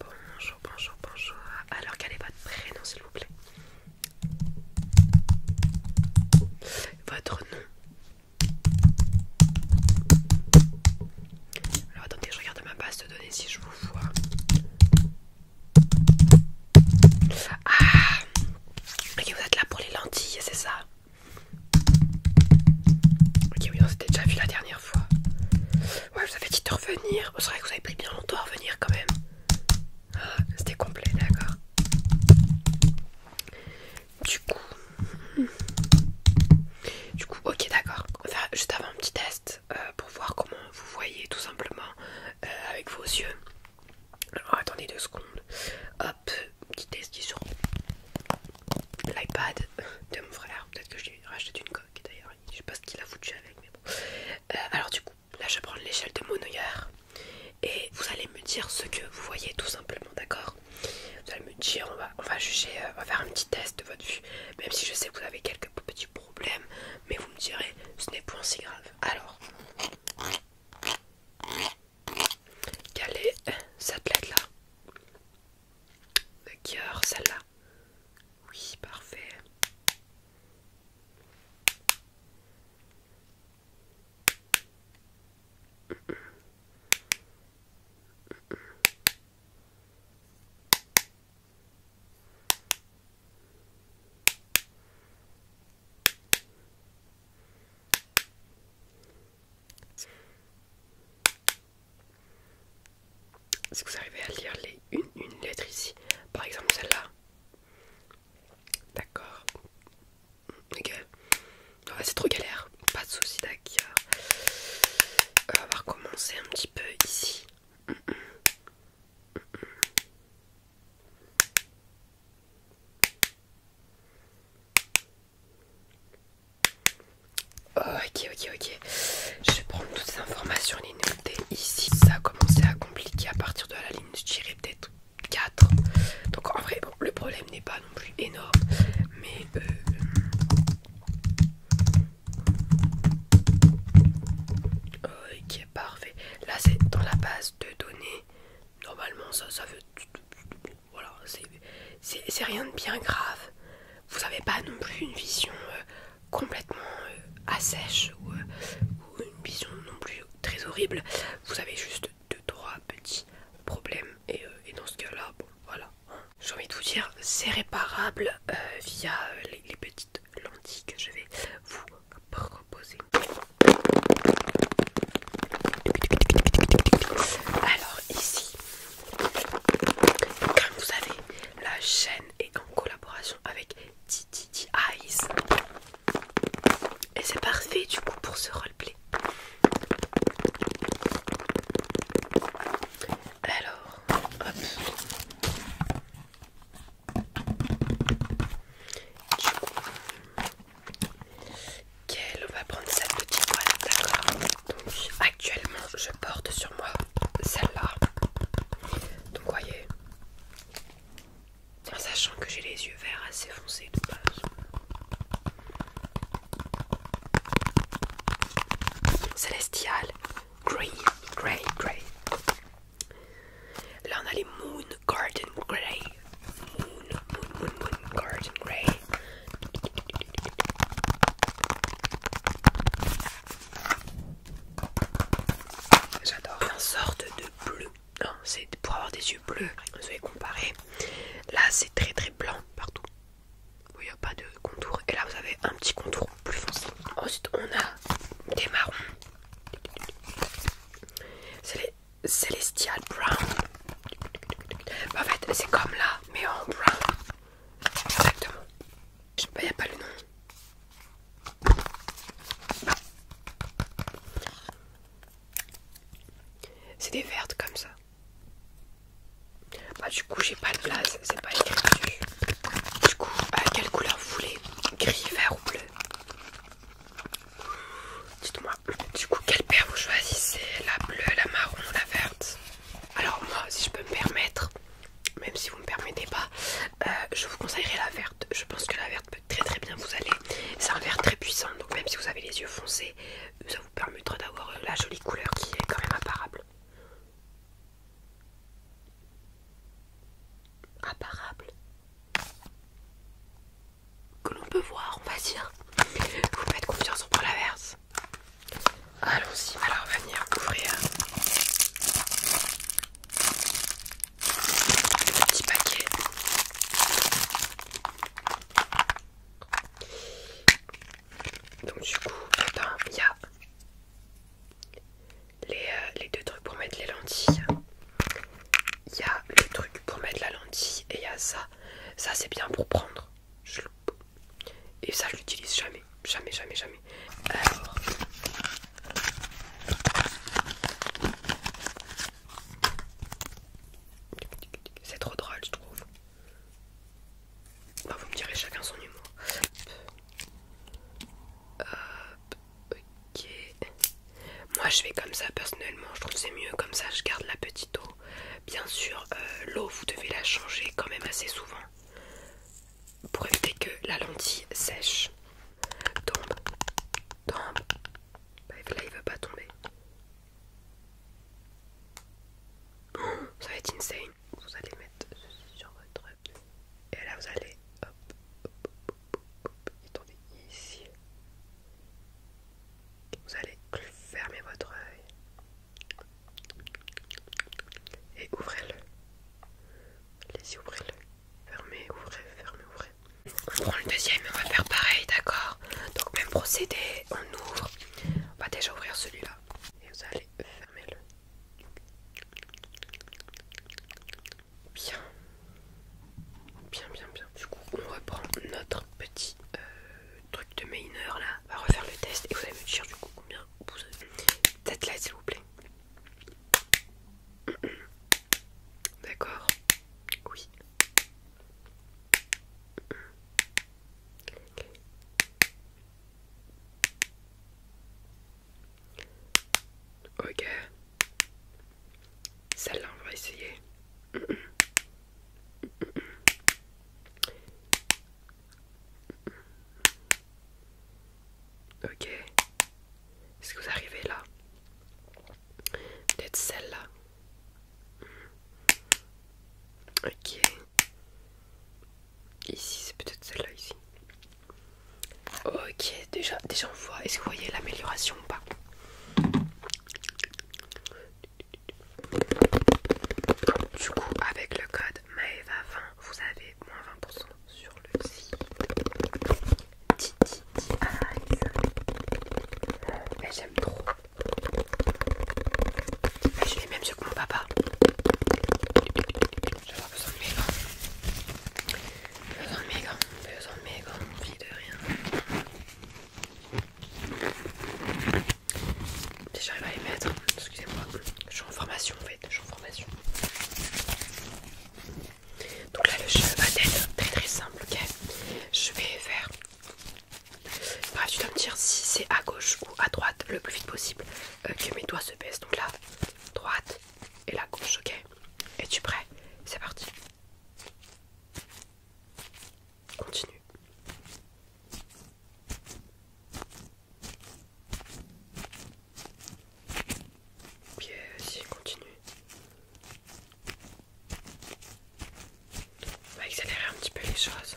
Bonjour, bonjour, bonjour. Alors, quel est votre prénom, s'il vous plaît Votre nom Alors, attendez, je regarde ma base de données si je vous vois. Ah Ok, vous êtes là pour les lentilles, c'est ça Ok, oui, on s'était déjà vu la dernière Ouais, vous avez dit de revenir. C'est vrai que vous avez pris bien longtemps à revenir quand même. Ah, c'était complet, d'accord. Du coup, hmm. du coup, ok, d'accord. On juste avant un petit test euh, pour voir comment vous voyez tout simplement euh, avec vos yeux. Alors, attendez deux secondes. Hop, petit test qui sur l'iPad de mon frère. Peut-être que je racheter d'une une coque d'ailleurs, je sais pas ce qu'il a foutu avec, mais bon. Euh, alors, du coup, là je prends l'échelle de mon Monoyard et vous allez me dire ce que vous voyez tout simplement, d'accord Vous allez me dire, on va, on va juger, euh, on va faire un petit test de votre vue, même si je sais que vous avez quelques petits problèmes, mais vous me direz, ce n'est point si grave. Alors, quelle est cette lettre là le cœur, celle-là. Oui, parfait. Si vous arrivez à lire les, une, lettre ici, par exemple celle-là, d'accord, Ok. c'est trop galère, pas de soucis, d'accord. Euh, on va recommencer un petit peu ici. Ok, ok, ok. Je vais prendre toutes ces informations et les ici. Ça a commencé à compliquer à partir de la ligne, je peut-être 4. Donc en vrai, le problème n'est pas non plus énorme. Mais... Euh, ok, parfait. Là, c'est dans la base de données. Normalement, ça, ça veut... Voilà, c'est rien de bien grave. Vous n'avez pas non plus une vision euh, complètement euh, assèche euh, ou, une vision non plus très horrible. Vous avez juste deux, trois petits problèmes. Et, dans ce cas-là, voilà. Hein. J'ai envie de vous dire, c'est réparable via les petites lentilles que je vais vous proposer. Alors ici, comme vous savez, la chaîne est en collaboration avec Titi Eyes. Et c'est parfait du coup pour ce roleplay. Alors, quel on va prendre cette petite boîte d'accord donc actuellement je porte sur moi celle-là donc voyez en sachant que j'ai les yeux verts assez foncés tout base Celestial Grey Grey Grey Là on a les Moon Garden Grey Moon Moon Moon Moon Garden Grey J'adore. Une sorte de bleu. Non, c'est pour avoir des yeux bleus. Vous avez comparer Là, c'est très très blanc partout. Il n'y a pas de contour. Et là, vous avez un petit contour plus foncé. Ensuite, on a des marrons. C'est les Celestial Brown. En fait, c'est comme là, mais en brun, Exactement. Il n'y a pas le nom. C'est des vertes comme ça. Bah du coup j'ai pas de place, c'est pas écrit Du coup, à quelle couleur vous voulez Gris, vert ou bleu Dites-moi du coup, quelle paire vous choisissez La bleue, la marron ou la verte Alors moi, si je peux me permettre, même si vous me permettez pas, euh, je vous conseillerais la verte. Je pense que la verte peut très très bien vous aller. C'est un vert très puissant, donc même si vous avez les yeux foncés, ça vous permettra d'avoir euh, la jolie couleur qui est quand même apparable. Apparable que l'on peut voir, on va dire. Vous faites confiance, on la verte. Allons-y, alors venir ouvrir le petit paquet. Donc du coup, putain, eh ben, il y a les, euh, les deux trucs pour mettre les lentilles. Il y a le truc pour mettre la lentille et il y a ça. Ça c'est bien pour prendre et ça, je l'utilise jamais, jamais, jamais, jamais. C'est trop drôle, je trouve. Bah, vous me direz chacun son humour. Hop, ok. Moi, je fais comme ça personnellement. Je trouve c'est mieux comme ça. Je garde la petite eau Bien sûr, l'eau, vous devez la changer quand même assez souvent pour éviter que la lentille sèche. Tombe, tombe. Là, il ne va pas tomber. Ça va être insane. Vous allez mettre ceci sur votre. Et là, vous allez. Hop, hop, hop, hop, hop. ici. Vous allez fermer votre œil et ouvrez-le. Les y ouvrez-le. Fermez, ouvrez, fermez, ouvrez. On prend le deuxième et on va faire pareil, d'accord Donc, même procédé, on ouvre. On va déjà ouvrir celui-là. Et vous allez fermer-le. Bien. Bien, bien, bien. Du coup, on reprend notre petit euh, truc de Mainer là. va refaire le test et vous allez me dire du coup combien vous avez. Tête là, s'il vous plaît. D'accord Oui. Ok. Celle-là, on va essayer. Ok. Est-ce que vous arrivez là Peut-être celle-là. Ok. Ici, c'est peut-être celle-là ici. Ok, déjà, déjà on voit. Est-ce que vous voyez l'amélioration ou pas du coup, avec le code Maeva20, vous avez moins 20% sur le site j'aime trop. je suis même que mon papa. pas. besoin de mes gants. Besoin de mes gants, besoin de mes gants, de rien. Déjà, j'arrive à les mettre. Excusez-moi, je suis en formation en fait. Je suis en formation. Donc là, le jeu va être très très simple. ok Je vais faire. Bref, tu dois me dire si c'est à gauche ou à droite le plus vite possible euh, que mes doigts se baissent. Donc là, droite et la gauche, ok Es-tu prêt C'est parti. Continue. OK, si, continue. On bah, va accélérer un petit peu les choses.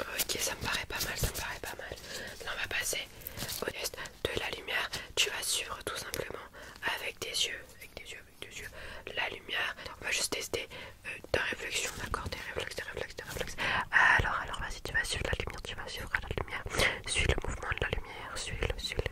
Ok, ça me paraît pas mal, ça me paraît pas mal. on va passer au test de la lumière. Tu vas suivre tout simplement avec tes yeux, avec tes yeux, avec tes yeux, la lumière. On va juste tester euh, ta réflexion, d'accord Tes réflexes, tes réflexes, tes réflexes. Alors, alors, vas-y, tu vas suivre la lumière, tu vas suivre la lumière. Suis le mouvement de la lumière, suis-le,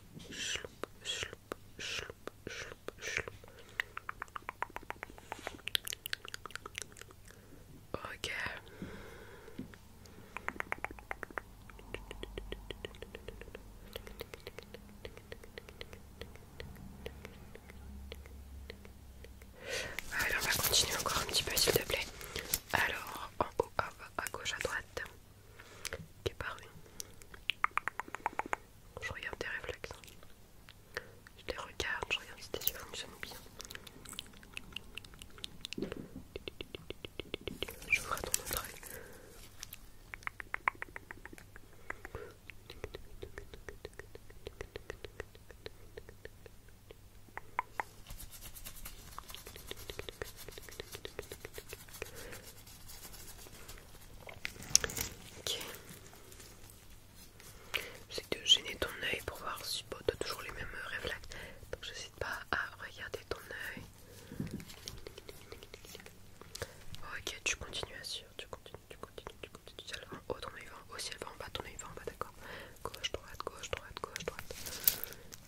Ok. alors on va continuer encore un petit peu, s'il te plaît. Alors, en haut, à gauche, à droite qui est Je regarde tes réflexes. Hein. Je les regarde, je regarde si tes yeux fonctionnent bien. Je ferai ton œil. Ok. J'essaie de gêner ton œil pour voir si tu as toujours les mêmes euh, réflexes. Donc j'hésite pas à regarder ton œil. Oh, ok, tu continues à suivre, tu continues, tu continues, tu continues. tu elle va en haut, ton œil va en haut. Si elle va en bas, ton œil va en bas, d'accord Gauche, droite, gauche, droite, gauche, droite.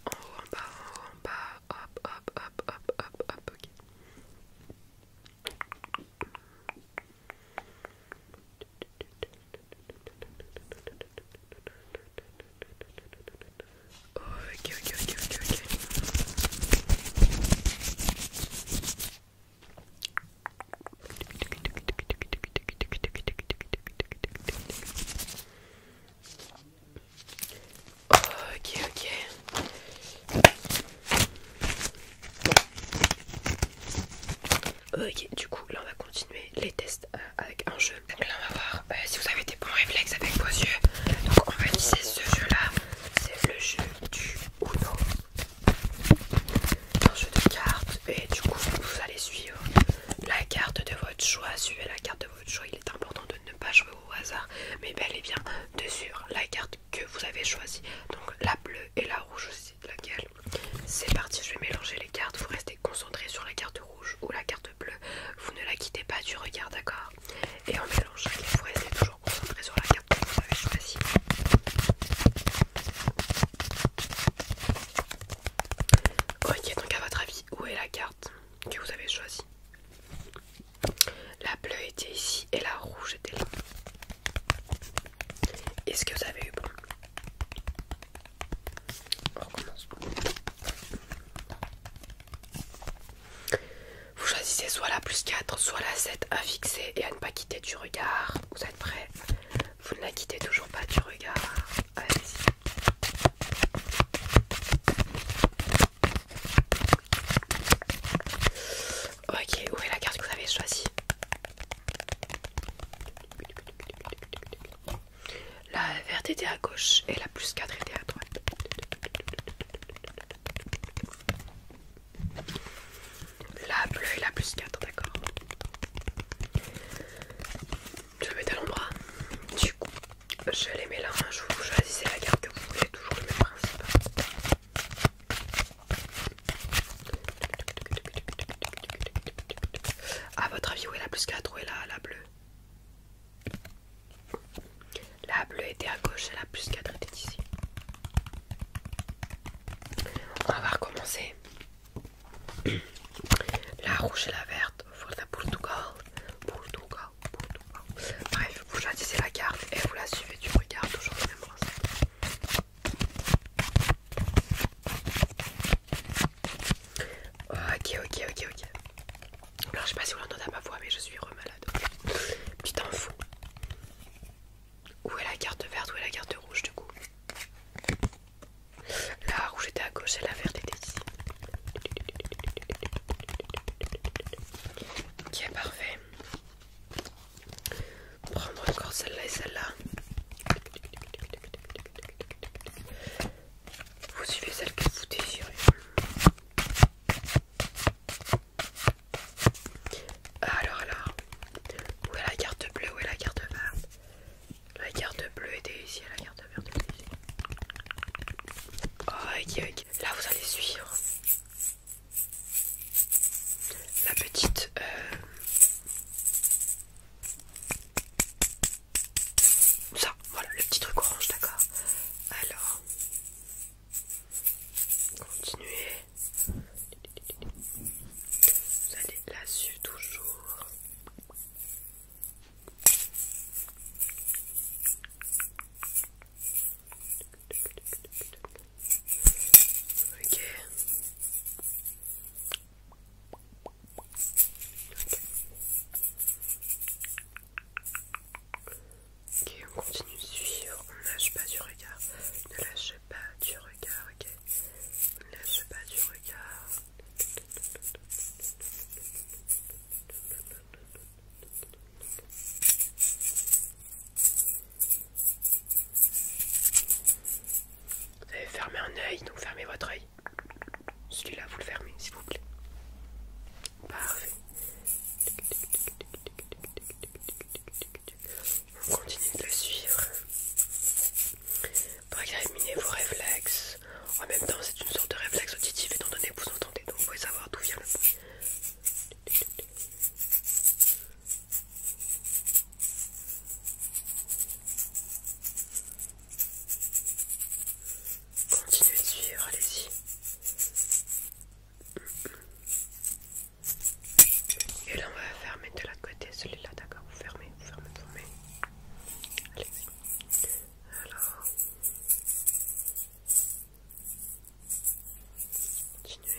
En haut, en bas, en haut, en bas. hop hop hop hop hop hop okay. Okay, okay, okay, okay, okay. Ok, ok. Ok, du coup, là on va continuer les tests euh, avec un jeu. Donc là on va voir euh, si vous avez des bons réflexes avec vos yeux. Donc on va utiliser ce jeu là. C'est le jeu du Uno. Un jeu de cartes. Et du coup, vous allez suivre la carte de votre choix. Suivez la carte de votre choix choix, il est important de ne pas jouer au hasard, mais bel et bien de la carte que vous avez choisie. Donc la bleue et la rouge aussi, laquelle C'est parti, je vais mélanger les cartes. Vous restez concentré sur la carte rouge ou la carte bleue. Vous ne la quittez pas du regard, d'accord Et en mélange, vous restez toujours concentré sur la carte que vous avez choisie. Ok, donc à votre avis, où est la carte que vous avez choisi. La bleue était ici et la rouge était là. Est-ce que vous avez eu bon Vous choisissez soit la plus 4, soit la 7 à fixer et à ne pas quitter du regard. Vous êtes prêt Vous ne la quittez toujours pas du regard. allez Ok, où est la carte que vous avez choisie La verte était à gauche et la plus 4 était à droite. La bleue et la plus 4, d'accord je le mets à l'endroit. Du coup, je les mélange, je vous choisissez la carte que vous voulez, toujours le même principe. A votre avis, où est la plus 4 Où est la, la bleue La bleue était à gauche et la plus 4 était ici. On va recommencer. La rouge et la verte. Portugal, Portugal, Portugal. Bref, vous choisissez la carte et vous la suivez du regard, toujours les même recette. Ok, ok, ok, ok. Alors, je sais pas si vous l'entendez à ma voix, mais je suis remalade. Tu t'en fous. Où est la carte verte Où est la carte rouge du coup la rouge était à gauche et la verte était ici. Ok, parfait. Prendre encore celle-là et celle-là. Vous suivez celle que vous désirez. Alors alors, où est la carte bleue, où est la carte verte la carte bleue était ici la carte verte ici. Ok, ok. Là, vous allez suivre la petite. Euh, ça, voilà, le petit truc orange, d'accord. Alors, continuez. Vous allez là-dessus toujours. Ok. ok, on continue de suivre, on ne lâche pas du regard, ne lâche pas du regard, ok, ne lâche pas du regard, vous avez fermé un œil, donc fermez votre œil. Celui-là, vous le fermez, s'il vous plaît. Parfait. On continue de la suivre pour examiner vos réflexes. En même temps, c'est une sorte de réflexe auditif étant donné que vous entendez, donc vous pouvez savoir d'où vient le bruit. Continuez de suivre, allez-y. Et là, on va fermer de l'autre côté celui-là, d'accord Vous fermez, vous fermez, vous fermez. Allez-y. Alors, continuez.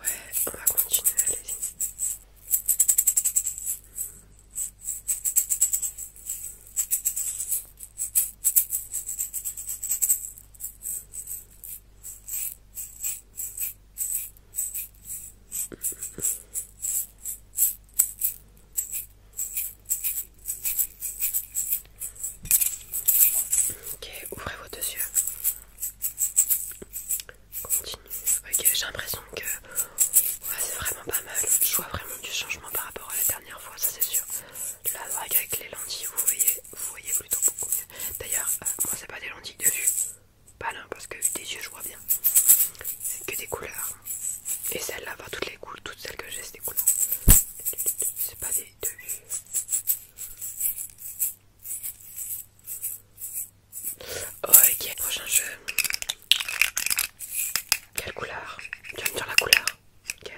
Ouais, on va continuer, allez-y. Ok, ouvrez vos deux yeux. Continuez. Ok, j'ai l'impression que c'est vraiment pas mal. Je vois vraiment du changement par rapport à la dernière fois, ça c'est sûr. La vague avec les lentilles, vous voyez, vous voyez plutôt beaucoup mieux. D'ailleurs, euh, moi c'est pas des lentilles de vue. Pas là, parce que des yeux je vois bien. C'est que des couleurs. Et celle-là, va toutes les couleurs, toutes celles que j'ai, c'est des couleurs. C'est pas des deux. Ok, prochain jeu. Quelle couleur Tu vas me dire la couleur. Ok.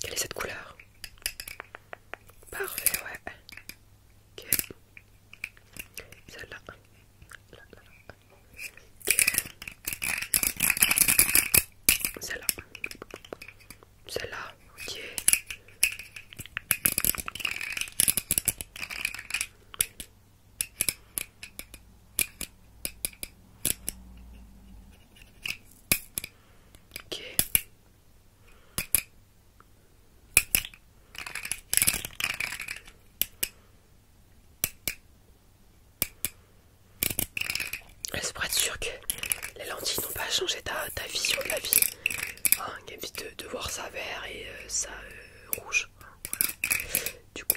Quelle est cette couleur Parfait, ouais. Celle-là. Là, là, Celle-là. Celle-là. Ok. Ok. C'est pour être sûr que les lentilles n'ont pas changé ta, ta vision de la vie. Hein, évite de, de voir ça vert et euh, ça euh, rouge. Du coup,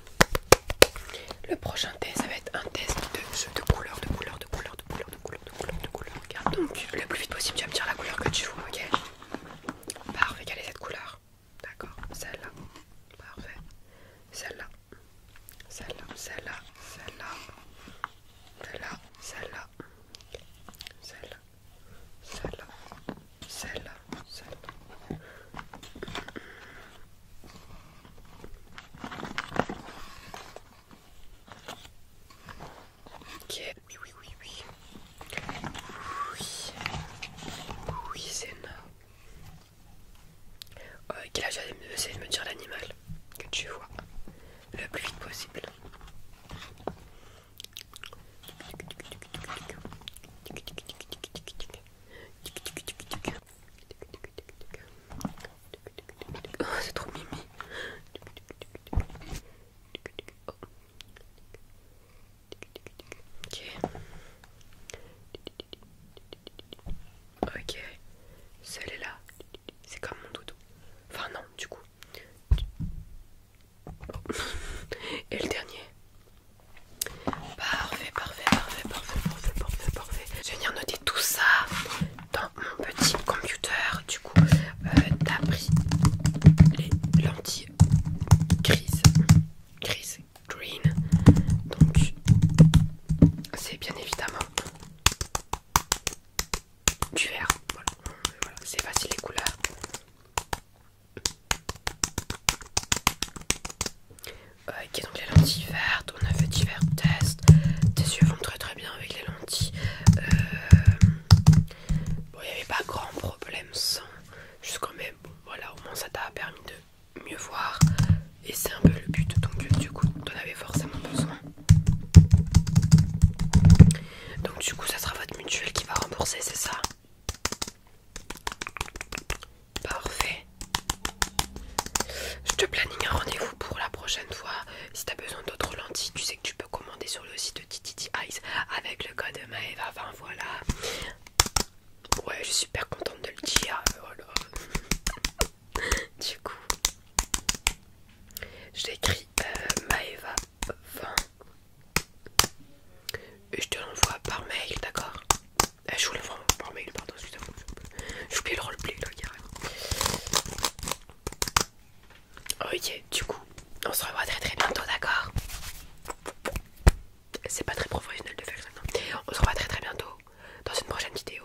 Le prochain test, ça va être un test de jeu de couleurs, de couleurs, de couleurs, de couleurs, de couleurs, de couleurs, de Donc, le plus vite possible, tu vas me dire la couleur que tu veux, ok Parfait, quelle est cette couleur D'accord, celle-là. Parfait. Celle-là. Celle-là, celle-là, celle-là. Celle-là, celle-là. Celle-là, celle-là, celle-là, Ok, oui, oui, oui, oui. Oui, oui, c'est de me dire l'animal que tu vois le plus vite possible. Oh, c'est trop mimi. Ok. Ok. Celle-là, c'est comme mon doudou. Enfin non, du coup. Et le dernier. Parfait, parfait, parfait, parfait, parfait, parfait, parfait. Je vais venir noter tout ça dans mon petit computer. Du coup, euh, t'as pris les lentilles grises, grises, green. Donc, c'est bien évidemment du vert. voilà. c'est facile les couleurs. Ok, donc les lentilles vertes, on a fait divers tests. Tes yeux vont très très bien avec les lentilles. Euh, bon, il n'y avait pas grand problème sans. Juste même, bon, voilà, au moins ça t'a permis de mieux voir. Et c'est un peu le but, donc du coup, t'en avais forcément besoin. Donc du coup, ça sera votre mutuelle qui va rembourser, c'est ça Parfait. Je te planifie un rendez-vous pour la prochaine fois. Si t'as besoin d'autres lentilles, tu sais que tu peux commander sur le site de Titi Eyes avec le code Maeva. 20 voilà. Ouais, je suis super contente de le dire. Euh, du coup, je l'écris euh, Maeva 20 et je te l'envoie par mail, d'accord eh, je voulais voir par mail, pardon, je J'ai oublié le roleplay là, carrément. Ok, du coup, on se revoit très très bientôt, d'accord C'est pas très professionnel de faire ça, On se revoit très très bientôt dans une prochaine vidéo.